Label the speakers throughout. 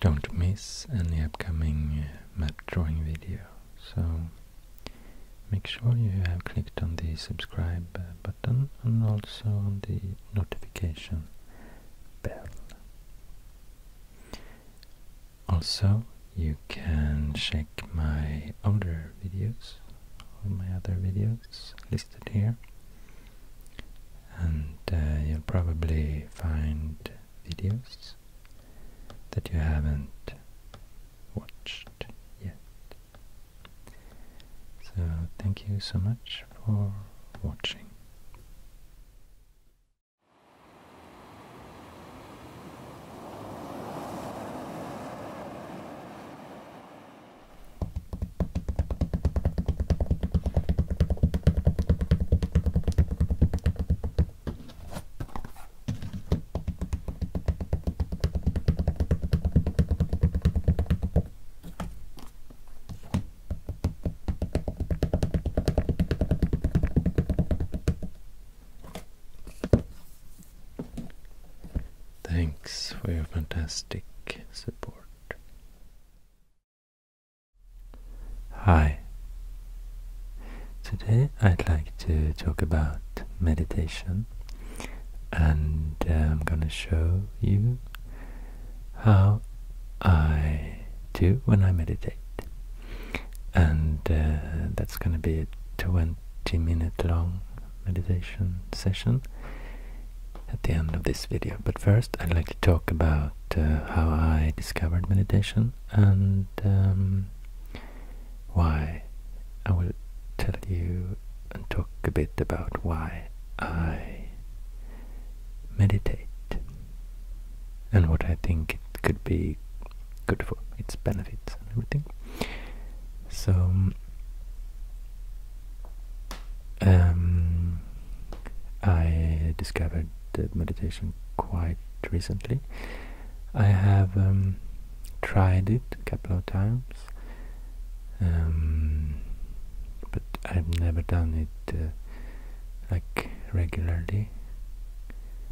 Speaker 1: Don't miss any upcoming uh, map drawing video, so make sure you have clicked on the subscribe uh, button and also on the notification bell. Also, you can check my older videos, all my other videos listed here and uh, you'll probably find videos that you haven't watched yet. So thank you so much for watching. Thanks for your fantastic support. Hi. Today I'd like to talk about meditation and uh, I'm going to show you how I do when I meditate. And uh, that's going to be a 20 minute long meditation session at the end of this video. But first I'd like to talk about about uh, how I discovered meditation and um, why I will tell you and talk a bit about why I meditate and what I think it could be good for, its benefits and everything. So, um, I discovered started meditation quite recently. I have um, tried it a couple of times, um, but I've never done it uh, like regularly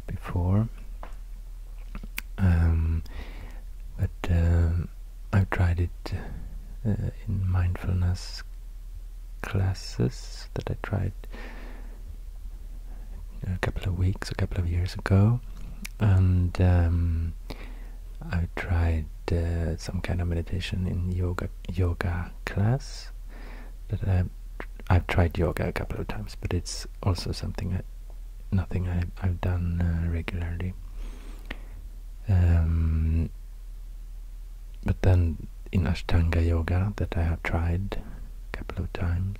Speaker 1: before. Um, but I've tried it uh, in mindfulness classes that I tried a couple of weeks, a couple of years ago, and um, I tried uh, some kind of meditation in yoga yoga class. That uh, I have tried yoga a couple of times, but it's also something I, nothing I, have done uh, regularly. Um, but then in Ashtanga Yoga that I have tried a couple of times,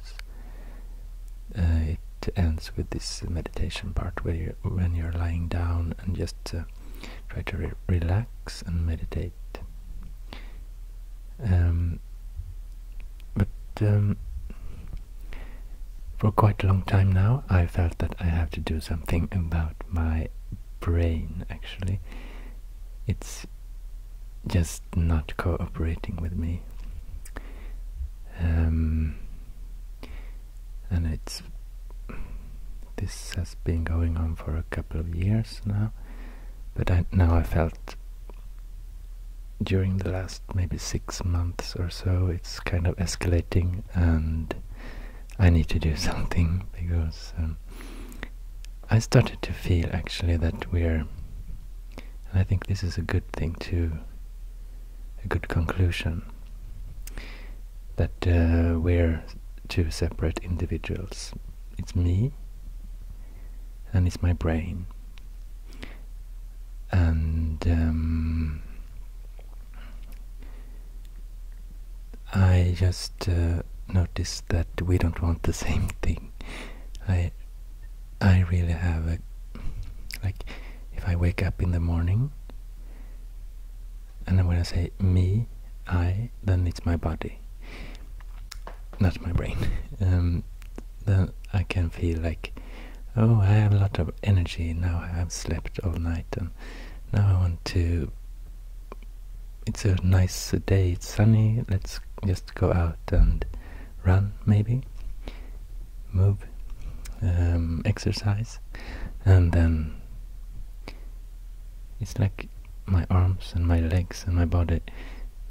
Speaker 1: uh, it ends with this meditation part where you, when you're lying down and just uh, try to relax and meditate. Um, but um, for quite a long time now, I felt that I have to do something about my brain actually it's just not cooperating with me. Um, and it's this has been going on for a couple of years now, but now I felt during the last maybe six months or so it's kind of escalating and I need to do something because um, I started to feel actually that we're, and I think this is a good thing too, a good conclusion, that uh, we're two separate individuals. It's me and it's my brain. And um, I just uh, noticed that we don't want the same thing. I I really have a like if I wake up in the morning and then when I say me, I, then it's my body, not my brain. Um, then I can feel like, oh, I have a lot of energy now. I have slept all night, and now I want to it's a nice day, it's sunny, let's just go out and run maybe, move, um, exercise, and then it's like my arms and my legs and my body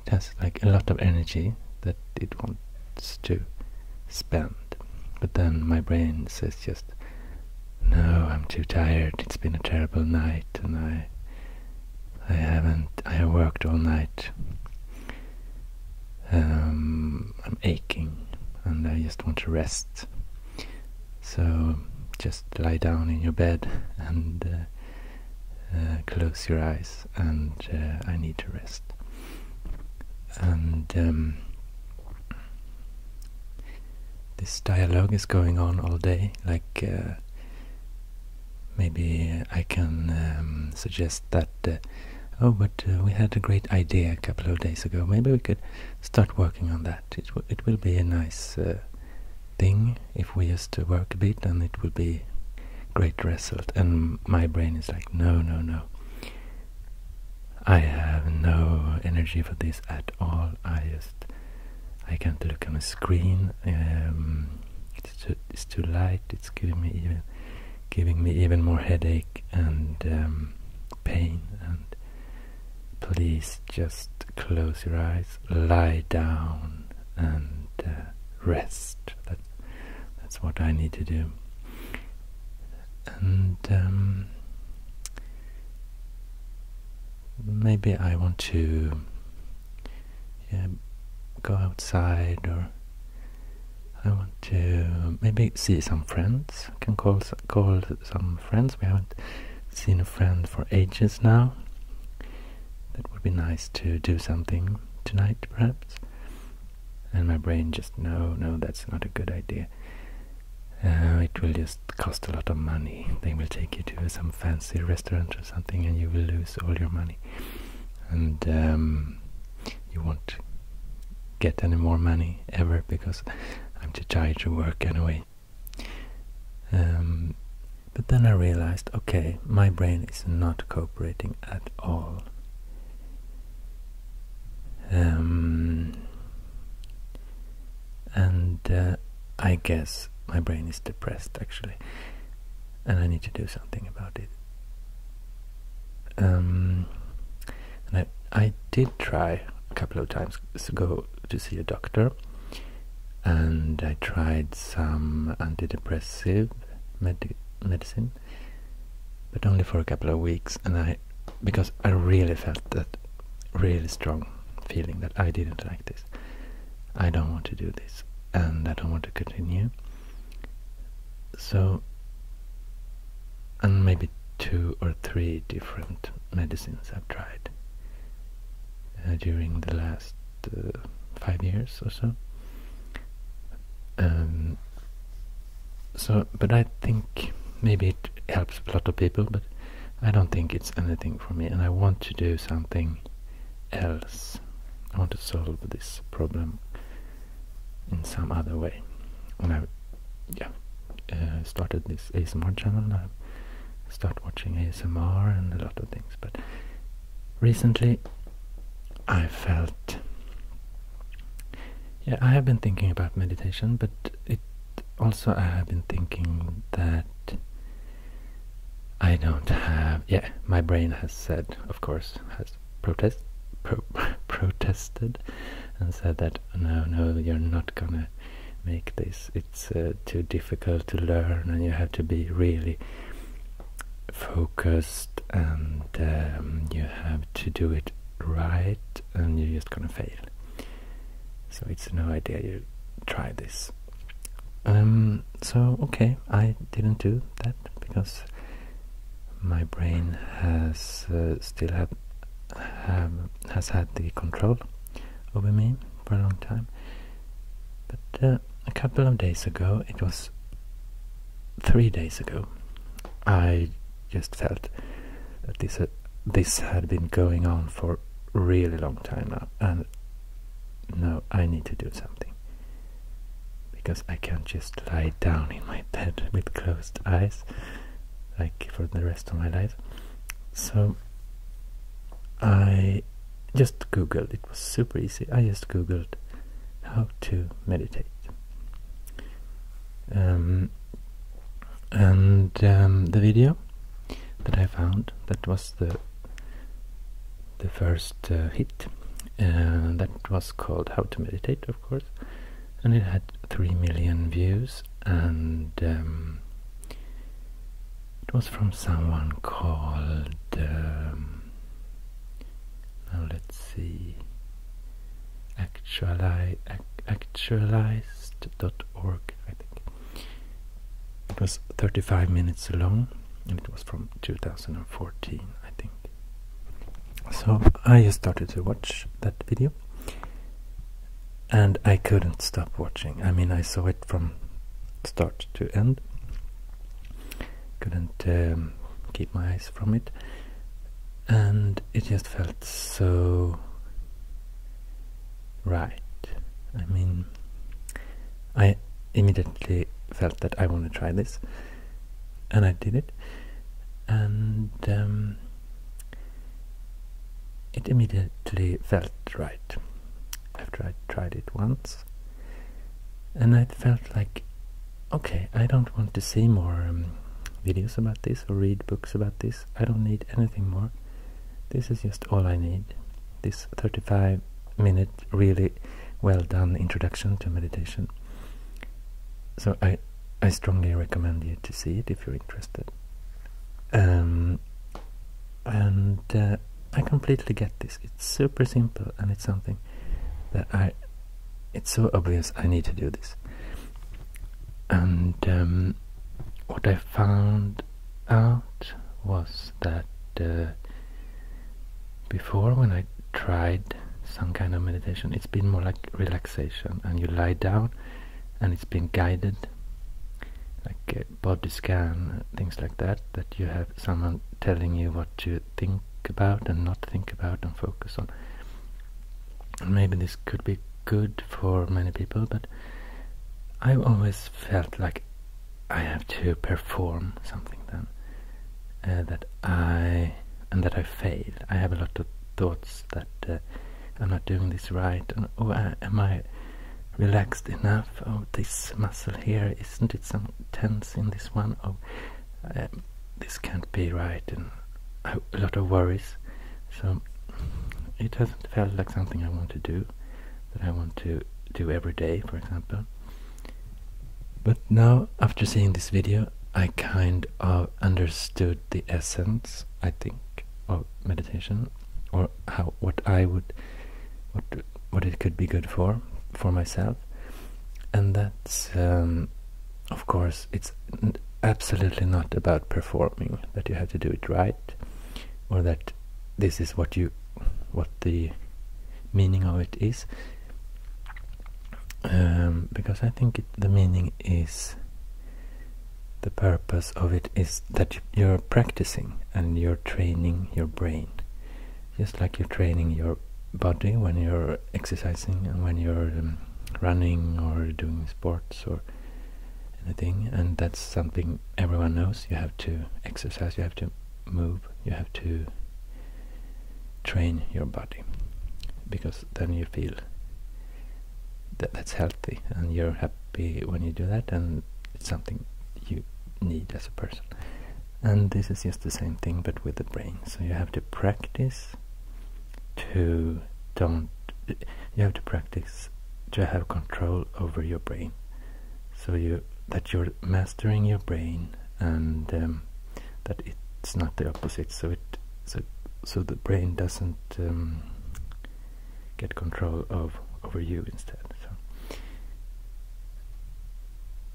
Speaker 1: it has like a lot of energy that it wants to spend but then my brain says just no, I'm too tired. It's been a terrible night and I I haven't I worked all night. Um, I'm aching and I just want to rest. So just lie down in your bed and uh, uh, close your eyes and uh, I need to rest. And um, this dialogue is going on all day. Like uh, maybe I can um, suggest that. Uh, oh, but uh, we had a great idea a couple of days ago. Maybe we could start working on that. It will be a nice thing if we to work a bit, and it will be great result. And my brain is like, no, no, no. I have no energy for this at all. I just I can't look on a screen. Um, it's, too, light. It's giving me even giving me even more headache and um, pain. And please just close your eyes, lie down, and uh, rest. That, that's what I need to do. And um, maybe I want to go outside or I want to maybe see some friends. I can call call some friends. We haven't seen a friend for ages now. That would be nice to do something tonight, perhaps. And my brain just no, no, that's not a good idea. Uh, it will just cost a lot of money. They will take you to some fancy restaurant or something and you will lose all your money. And um, you won't get any more money ever because I'm too tired to work anyway. Um, but then I realized, okay, my brain is not cooperating at all. Um, and uh, I guess my brain is depressed actually, and I need to do something about it. Um, and I I did try a couple of times to go to see a doctor, and I tried some antidepressive medicine, but only for a couple of weeks, and I because I really felt that really strong feeling that I didn't like this. I don't want to do this and I don't want to continue. So, and maybe two or three different medicines I've tried uh, during the last uh, five years or so. Um, so, but I think maybe it helps a lot of people, but I don't think it's anything for me and I want to do something else. I want to solve this problem in some other way. When I yeah, uh, started this ASMR channel I start watching ASMR and a lot of things. But recently I felt yeah, I have been thinking about meditation, but it also I have been thinking that I don't have. Yeah, my brain has said, of course, has protested, and said that no, no, you're not gonna make this. It's uh, too difficult to learn, and you have to be really focused, and um, you have to do it right, and you're just gonna fail so it's no idea you try this. Um, so okay, I didn't do that because my brain has uh, still had has had the control over me for a long time. But uh, a couple of days ago, it was three days ago, I just felt that this uh, this had been going on for really long time now, and no, I need to do something. Because I can't just lie down in my bed with closed eyes, like for the rest of my life. So I just googled, it was super easy. I just googled how to meditate. Um, and um, the video that I found, that was the the first uh, hit uh, that was called How to Meditate, of course, and it had three million views, and um, it was from someone called. Um, now let's see, actuali actualized.org, I think. It was 35 minutes long and it was from 2014, I think. So I just started to watch that video and I couldn't stop watching. I mean, I saw it from start to end. Couldn't um, keep my eyes from it. And it just felt so right. I mean, I immediately felt that I want to try this, and I did it, and um, it immediately felt right after I tried it once, and I felt like, okay, I don't want to see more um, videos about this or read books about this. I don't need anything more. This is just all I need this 35 minute really well done introduction to meditation. So I, I strongly recommend you to see it if you're interested. Um, and uh, I completely get this. It's super simple and it's something that I, it's so obvious I need to do this. And um, what I found out was that uh, before when I tried some kind of meditation, it's been more like relaxation, and you lie down, and it's been guided, like a body scan, things like that, that you have someone telling you what to think about and not think about and focus on. maybe this could be good for many people, but I always felt like I have to perform something then uh, that I and that I fail. I have a lot of thoughts that uh, I'm not doing this right, and, oh, uh, am I relaxed enough? Oh, this muscle here isn't it some tense in this one? Oh, um, this can't be right, and a lot of worries. So it hasn't felt like something I want to do, that I want to do every day, for example. But now, after seeing this video, I kind of understood the essence, I think, of meditation, or how what I would, what what it could be good for, for myself, and that's, um, of course, it's absolutely not about performing that you have to do it right, or that this is what you what the meaning of it is um, because I think the meaning is the purpose of it is that you're practicing and you're training your brain just like you're training your body when you're exercising and when you're um, running or doing sports or anything and that's something everyone knows you have to exercise you have to move you have to train your body because then you feel that that's healthy and you're happy when you do that and it's something you need as a person and this is just the same thing but with the brain so you have to practice to don't you have to practice to have control over your brain so you that you're mastering your brain and um, that it's not the opposite so it so, so the brain doesn't um, get control of over you instead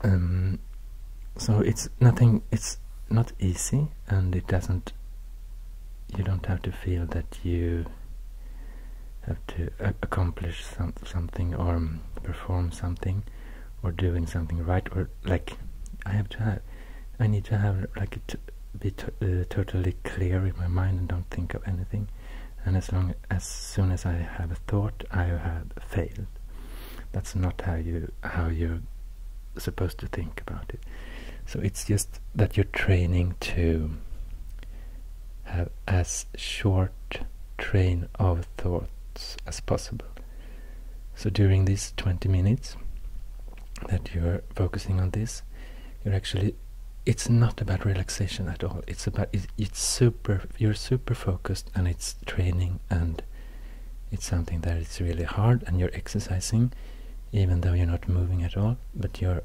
Speaker 1: um, so it's nothing it's not easy and it doesn't you don't have to feel that you have to uh, accomplish some, something or um, perform something or doing something right or like I have to have I need to have like it be uh, totally clear in my mind and don't think of anything and as long as soon as I have a thought I have failed that's not how you how you're supposed to think about it so it's just that you're training to have as short train of thoughts as possible. So during these 20 minutes that you're focusing on this, you're actually it's not about relaxation at all. It's about it's, super you're super focused and it's training and it's something that is really hard and you're exercising even though you're not moving at all, but you're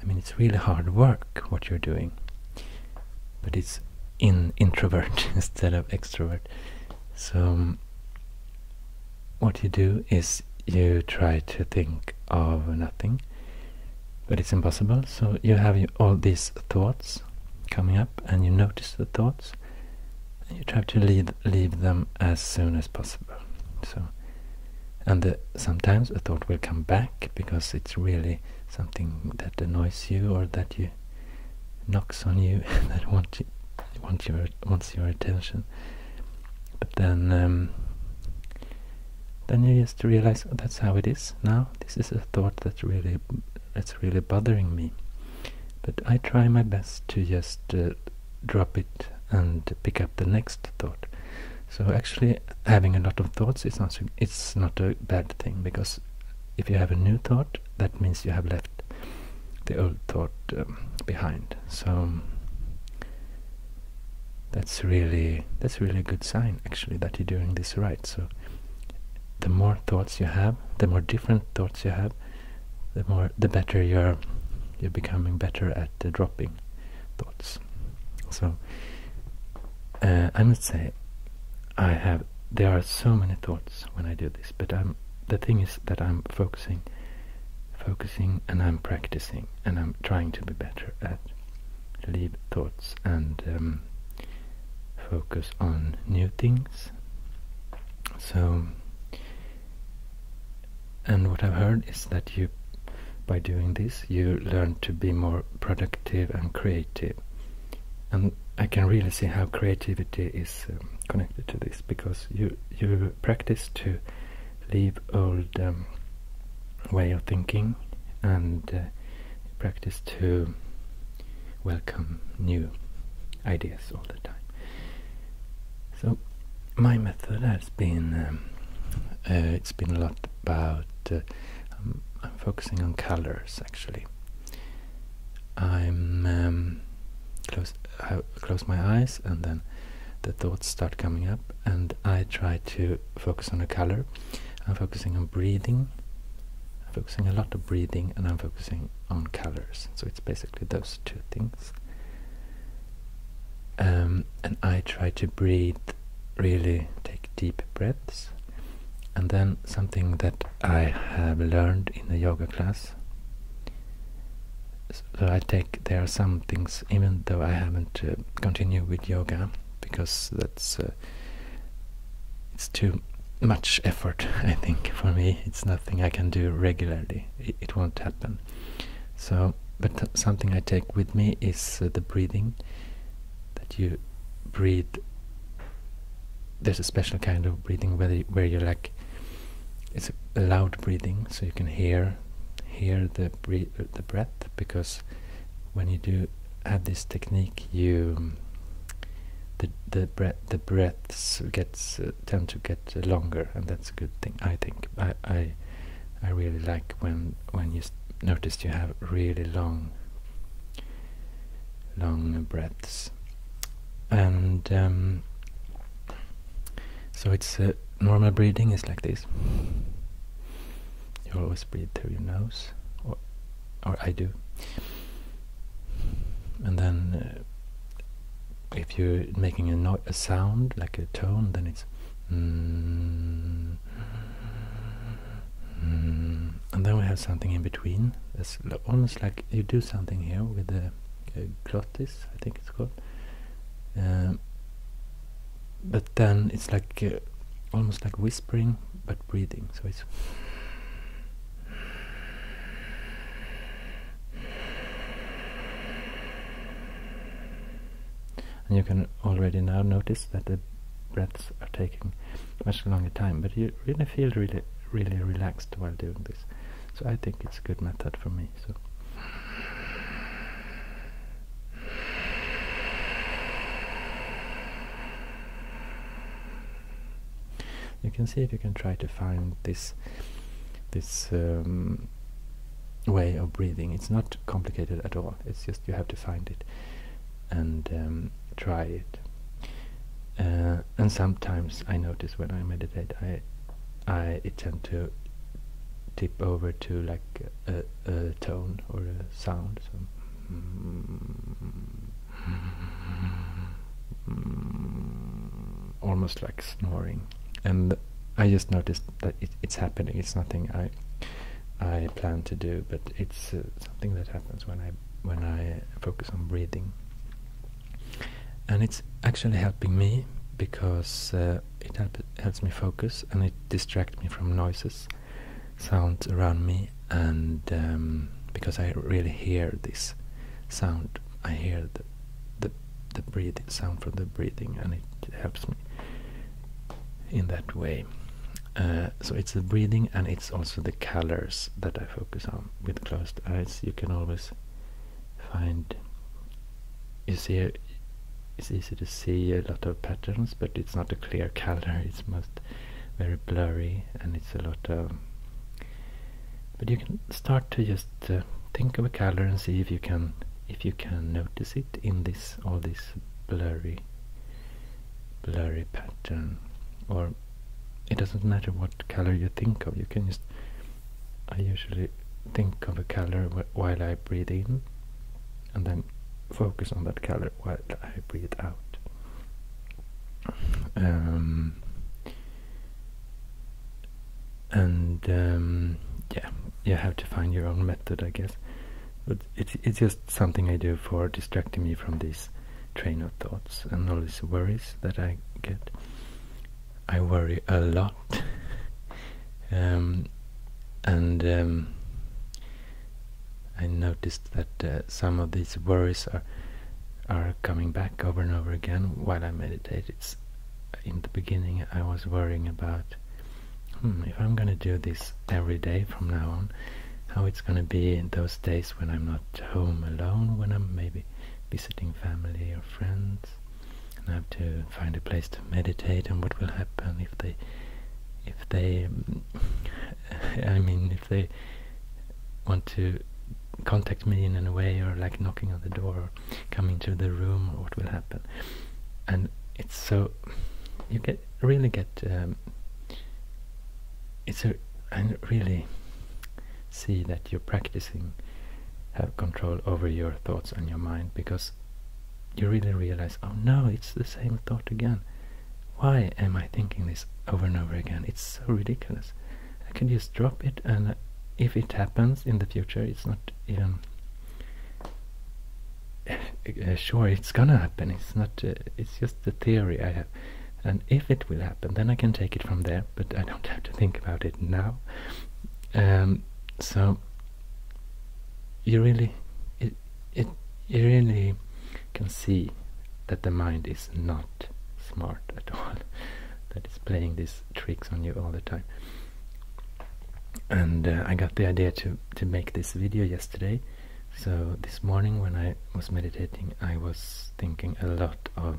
Speaker 1: I mean, it's really hard work what you're doing, but it's in introvert instead of extrovert. So um, what you do is you try to think of nothing, but it's impossible. So you have all these thoughts coming up, and you notice the thoughts, and you try to leave leave them as soon as possible. So and sometimes a thought will come back because it's really something that annoys you or that you knocks on you that wants your wants your attention. But then um, then you just realize that's how it is now. This is a thought that really that's really bothering me. But I try my best to just uh, drop it and pick up the next thought. So actually, having a lot of thoughts is not it's not a bad thing because if you have a new thought, that means you have left the old thought um, behind. So um, that's really that's really a good sign actually that you're doing this right. So the more thoughts you have, the more different thoughts you have, the more the better you're you're becoming better at uh, dropping thoughts. So uh, I must say, I have there are so many thoughts when I do this, but I'm the thing is that I'm focusing, focusing, and I'm practicing, and I'm trying to be better at leave thoughts and um, focus on new things. So, and what I've heard is that you by doing this you learn to be more productive and creative and I can really see how creativity is um, connected to this because you you practice to leave old um, way of thinking and uh, practice to welcome new ideas all the time. So my method has been um, uh, it's been a lot about uh, um, I'm, focusing on colors actually I'm um, close I uh, close my eyes and then the thoughts start coming up and I try to focus on a color I'm focusing on breathing I'm focusing a lot of breathing and I'm focusing on colors so it's basically those two things um, and I try to breathe really take deep breaths. And then something that I have learned in the yoga class. So I take there are some things, even though I haven't uh, continued with yoga, because that's uh, it's too much effort. I think for me, it's nothing I can do regularly. It, won't happen. So, but something I take with me is uh, the breathing that you breathe there's a special kind of breathing where, where you like it's a loud breathing so you can hear hear the breath the breath because when you do have this technique you the the breath the breaths gets uh, tend to get longer and that's a good thing I think I I really like when when you notice you have really long long breaths and um, so it's uh, normal breathing is like this you always breathe through your nose or, or I do and then uh, if you're making a, no a sound like a tone then it's Mm. and then we have something in between. It's almost like you do something here with the uh, glottis, I think it's called. Um, but then it's like uh, almost like whispering but breathing. So it's and you can already now notice that the breaths are taking much longer time but you really feel really really relaxed while doing this so I think it's a good method for me so you can see if you can try to find this this um, way of breathing it's not complicated at all it's just you have to find it and um, try it. Uh, and sometimes I notice when I meditate, I I tend to tip over to like a, tone or a sound. almost like snoring, and I just noticed that it's happening. It's nothing I I plan to do, but it's uh, something that happens when I when I focus on breathing, and it's actually helping me because uh, it help, helps me focus and it distracts me from noises, sounds around me, and um, because I really hear this sound, I hear the the breathing sound from the breathing, and it helps me in that way. Uh, so it's the breathing and it's also the colors that I focus on with closed eyes. You can always find you see it's easy to see a lot of patterns, but it's not a clear color. It's most very blurry and it's a lot of. But you can start to just uh, think of a color and see if you can if you can notice it in this all this blurry blurry pattern or it doesn't matter what color you think of you can just I usually think of a color while I breathe in and then focus on that color while I breathe out um, and um, yeah you have to find your own method I guess but it's it's just something I do for distracting me from these train of thoughts and all these worries that I get. I worry a lot. Um, and um, I noticed that uh, some of these worries are are coming back over and over again while I meditate. It's in the beginning I was worrying about Hmm, if I'm gonna do this every day from now on, how it's gonna be in those days when I'm not home alone, when I'm maybe visiting family or friends, and I have to find a place to meditate, and what will happen if they, if they, I mean, if they want to contact me in any way or like knocking on the door or coming to the room or what will happen and it's so you get really get um, it's a I really see that you're practicing have uh, control over your thoughts and your mind because you really realize oh no it's the same thought again why am I thinking this over and over again it's so ridiculous I can just drop it and uh, if it happens in the future it's not even uh, sure it's gonna happen it's not uh, it's just a theory i have and if it will happen then i can take it from there but i don't have to think about it now um, so you really it, you really can see that the mind is not smart at all that is playing these tricks on you all the time and uh, i got the idea to to make this video yesterday so this morning when I was meditating, I was thinking a lot of,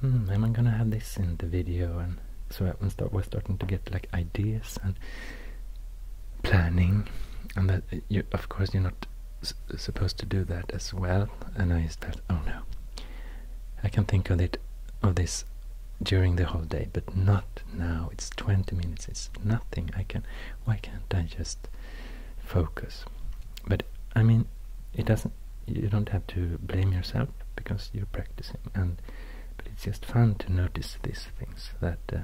Speaker 1: hmm, am I gonna have this in the video? And so I was, was starting to get like ideas and planning, and that uh, you, of course, you're not supposed to do that as well. And I felt, oh no, I can think of it, of this during the whole day, but not now it's 20 minutes, it's nothing. I can, why can't I just focus? But I mean, it doesn't, you don't have to blame yourself because you're practicing and but it's just fun to notice these things that uh,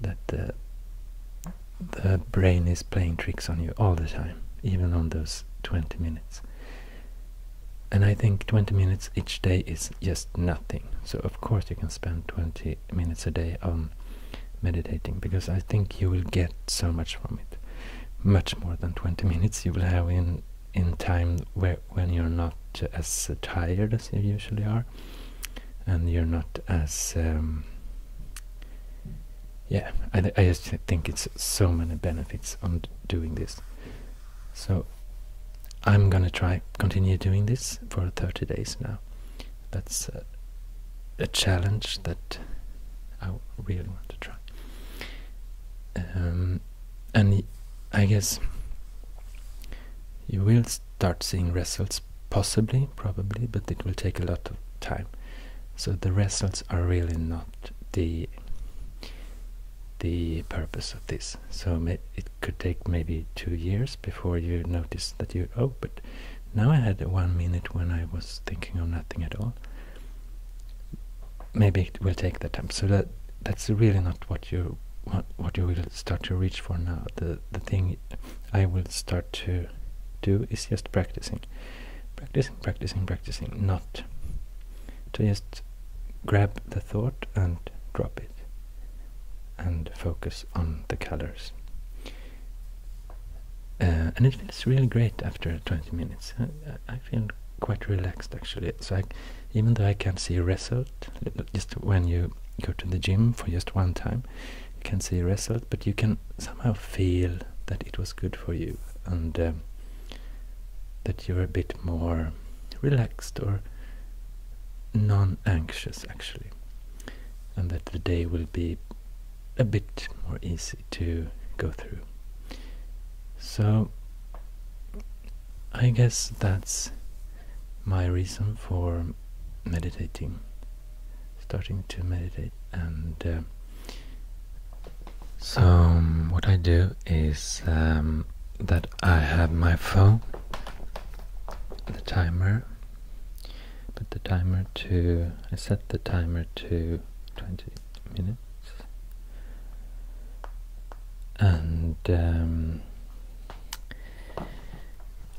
Speaker 1: that uh, the brain is playing tricks on you all the time even on those 20 minutes and i think 20 minutes each day is just nothing so of course you can spend 20 minutes a day of meditating because I think you will get so much from it much more than 20 minutes you will have in in time when you're not as tired as you usually are and you're not as um, yeah I, I just think it's so many benefits on doing this so I'm gonna try continue doing this for 30 days now. That's a challenge that I really want to try. Um, and I guess you will start seeing results, possibly, probably, but it will take a lot of time. So the results are really not the the purpose of this. So it could take maybe two years before you notice that you, oh, but now I had one minute when I was thinking of nothing at all. Maybe it will take that time. So that that's really not what you what you will start to reach for now. The the thing I will start to do is just practicing, practicing, practicing, practicing. Not to just grab the thought and drop it and focus on the colors. Uh, and it feels really great after 20 minutes. I, feel quite relaxed actually. So I, even though I can't see a result, just when you go to the gym for just one time, you can see a result, but you can somehow feel that it was good for you and um, that you're a bit more relaxed or non-anxious actually and that the day will be a bit more easy to go through. So, I guess that's my reason for meditating, starting to meditate. And uh, so, what I do is um, that I have my phone, the timer, put the timer to I set the timer to 20 minutes and um,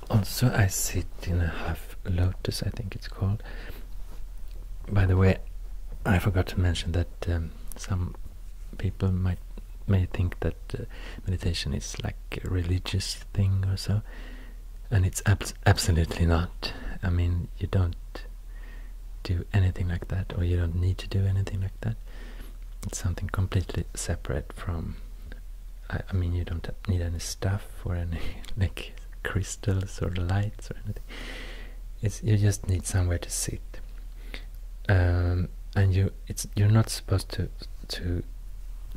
Speaker 1: also I sit in a half lotus I think it's called by the way I forgot to mention that um, some people might may think that uh, meditation is like religious thing or so and it's abs absolutely not i mean you don't do anything like that or you don't need to do anything like that it's something completely separate from i, mean you don't need any stuff or any like crystals or lights or anything you just need somewhere to sit um, and you it's you're not supposed to to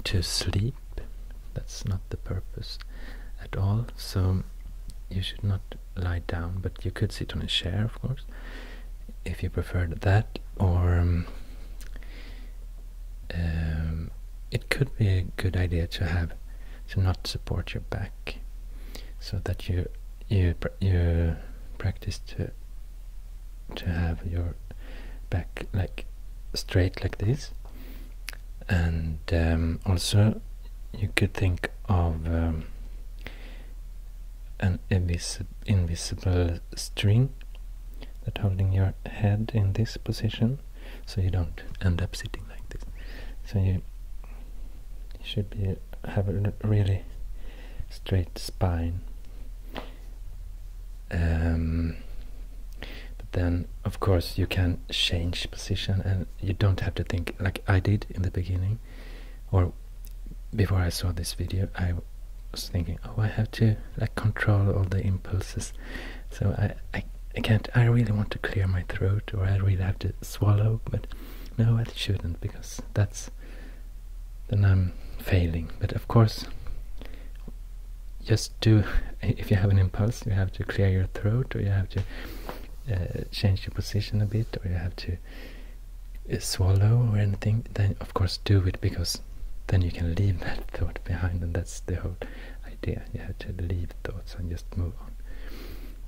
Speaker 1: to sleep. That's not the purpose at all. So you should not lie down, but you could sit on a chair, of course, if you preferred that, or um, um, it could be a good idea to have to not support your back, so that you you you practice to to have your back like straight like this and um, also you could think of um, an invisible string that holding your head in this position so you don't end up sitting like this so you should be have a really straight spine um, but then, of course, you can change position and you don't have to think like I did in the beginning or before I saw this video. I was thinking, oh, I have to like control all the impulses. So I, I can't, I really want to clear my throat or I really have to swallow, but no, I shouldn't because that's then I'm failing. But of course, just do if you have an impulse you have to clear your throat or you have to uh, change your position a bit or you have to uh, swallow or anything then of course do it because then you can leave that thought behind and that's the whole idea you have to leave thoughts and just move on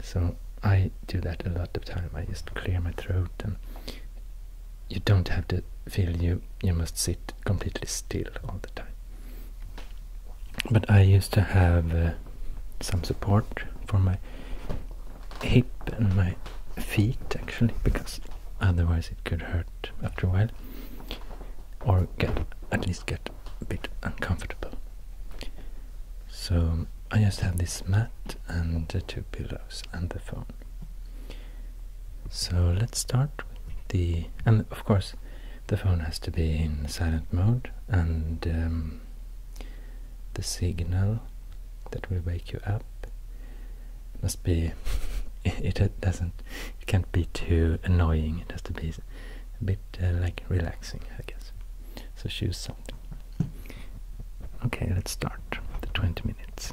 Speaker 1: so i do that a lot of time i just clear my throat and you don't have to feel you you must sit completely still all the time. But I used to have uh, some support for my hip and my feet actually because otherwise it could hurt after a while or get at least get a bit uncomfortable. So I just have this mat and the two pillows and the phone. So let's start with the, and of course the phone has to be in silent mode and um, the signal that will wake you up must be, it, doesn't, it can't be too annoying, it has to be a bit uh, like relaxing I guess. So choose something. Okay, let's start the 20 minutes.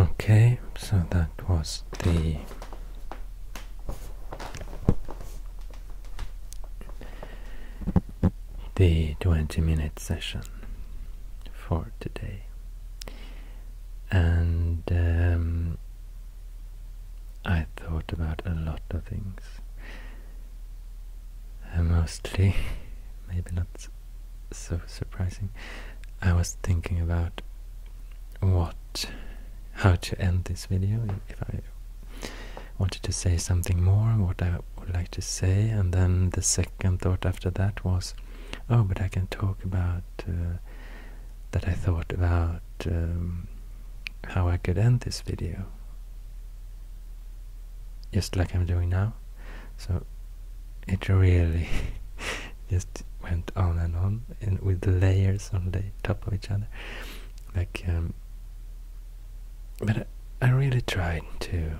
Speaker 1: Okay, so that was the the 20 minute session for today. And um, I thought about a lot of things. Uh, mostly, maybe not so surprising, I was thinking about what how to end this video. If I wanted to say something more, what I would like to say, and then the second thought after that was, oh, but I can talk about uh, that I thought about um, how I could end this video, just like I'm doing now. So it really just went on and on and with layers on the top of each other like um, but I, really tried to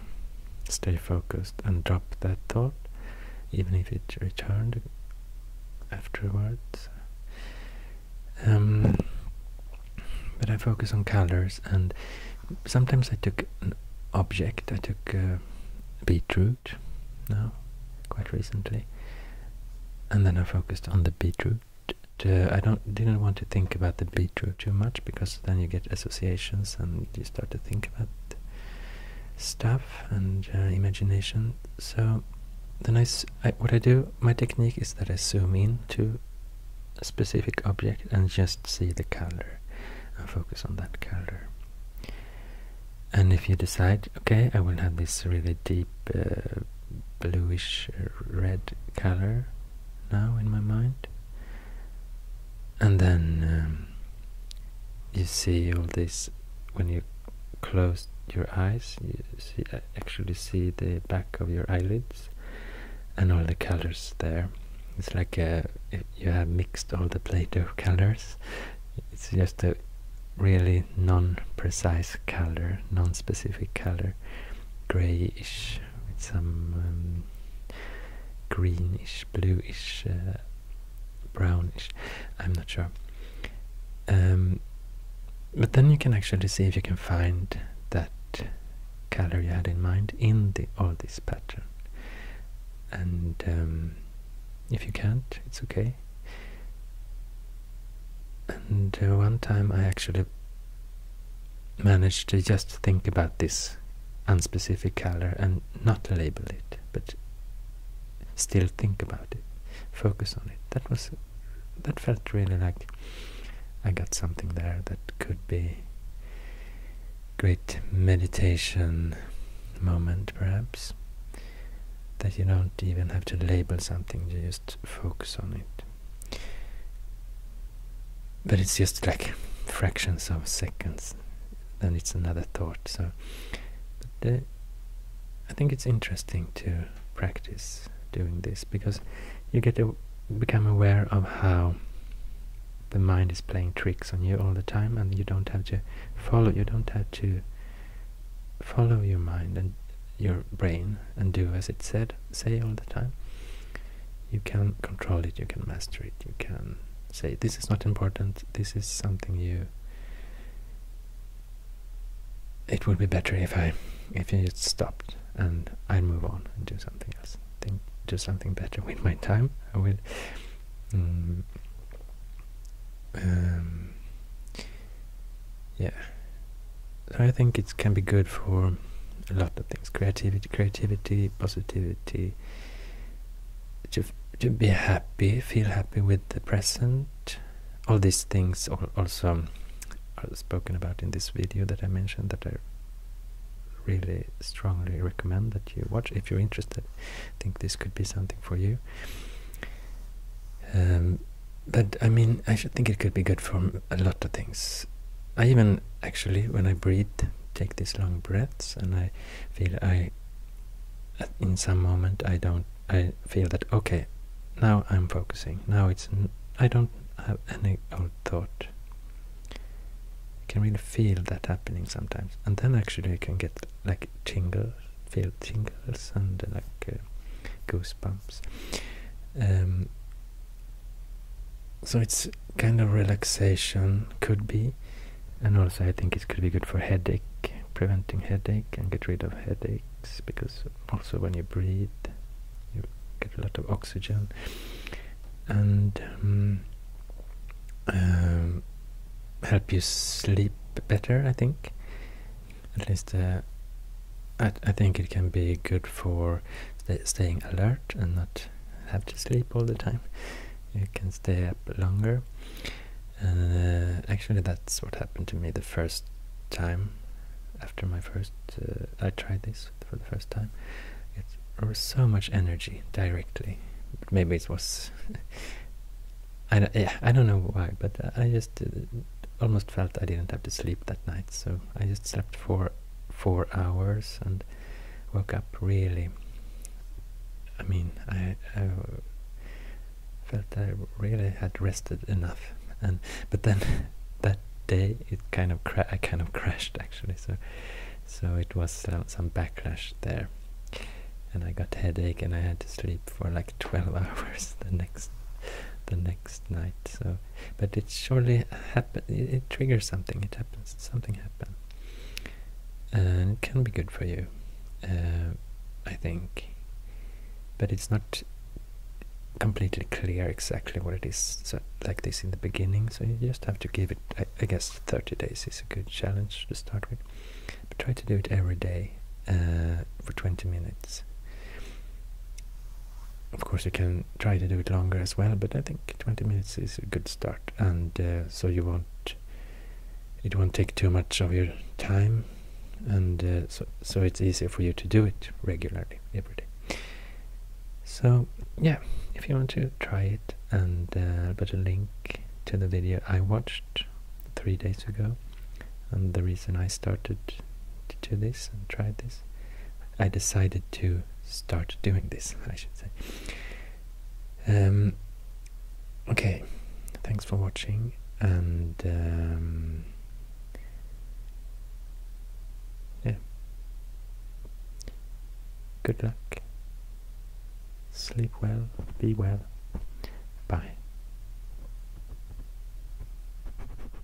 Speaker 1: stay focused and drop that thought even if it returned afterwards um, but I focus on colors and sometimes I took an object I took a beetroot now quite recently. And then I focused on the beetroot. Uh, I don't didn't want to think about the beetroot too much because then you get associations and you start to think about stuff and uh, imagination. So then I, what I do, my technique is that I zoom in to a specific object and just see the color and focus on that color. And if you decide, okay, I will have this really deep uh, bluish uh, red color now in my mind and then um, you see all this when you close your eyes you see uh, actually see the back of your eyelids and all the colors there it's like uh, you have mixed all the play-doh colors it's just a really non-precise color, non-specific color, grayish with some um, greenish, blueish, uh, brownish, I'm not sure. Um, but then you can actually see if you can find that color you had in mind in the all this pattern. And um, if you can't, it's okay. And uh, one time I actually managed to just think about this unspecific color and not label it, but still think about it, focus on it. That was that felt really like I got something there that could be great meditation moment perhaps that you don't even have to label something, you just focus on it. But it's just like fractions of seconds, then it's another thought. So, I think it's interesting to practice doing this because you get to become aware of how the mind is playing tricks on you all the time, and you don't have to follow. You don't have to follow your mind and your brain and do as it said say all the time you can control it you can master it you can say this is not important this is something you it would be better if i if you just stopped and i move on and do something else think do something better with my time i will yeah so I think it can be good for a lot of things creativity creativity positivity to to be happy feel happy with the present all these things also are spoken about in this video that I mentioned that I really strongly recommend that you watch if you're interested I think this could be something for you um, but I mean, I should think it could be good for a lot of things. I even actually, when I breathe, take these long breaths, and I feel I, in some moment, I don't, I feel that okay, now I'm focusing. Now it's, I I don't have any old thought. I can really feel that happening sometimes, and then actually I can get like tingles feel tingles and uh, like uh, goosebumps. Um, so it's kind of relaxation could be, and also I think it could be good for headache, preventing headache and get rid of headaches because also when you breathe, you get a lot of oxygen, and um, um, help you sleep better. I think at least uh, I, I think it can be good for staying alert and not have to sleep all the time. You can stay up longer. Uh, actually, that's what happened to me the first time after my first. Uh, I tried this for the first time. It, there was so much energy directly. maybe it was. I don't, I don't know why, but I just almost felt I didn't have to sleep that night, so I just slept for four hours and woke up really. I mean, I, felt I really had rested enough, and but then that day it kind of I kind of crashed actually, so so it was uh, some backlash there, and I got headache and I had to sleep for like twelve hours the next the next next night. So, but it surely happen. It, triggers something. It happens. Something happen, and it can be good for you. Uh, I think, but it's not completely clear exactly what it is so, like this in the beginning. So you just have to give it. I guess thirty days is a good challenge to start with, but try to do it every day uh, for 20 minutes. Of course, you can try to do it longer as well, but I think 20 minutes is a good start, and uh, so you won't it won't take too much of your time, and uh, so so it's easier for you to do it regularly every day. So yeah, if you want to try it, and I'll put a link to the video I watched three days ago and the reason I started to do this and tried this, I decided to start doing this, I should say. Um, okay, thanks for watching, and um, yeah, good luck, sleep well, be well, bye.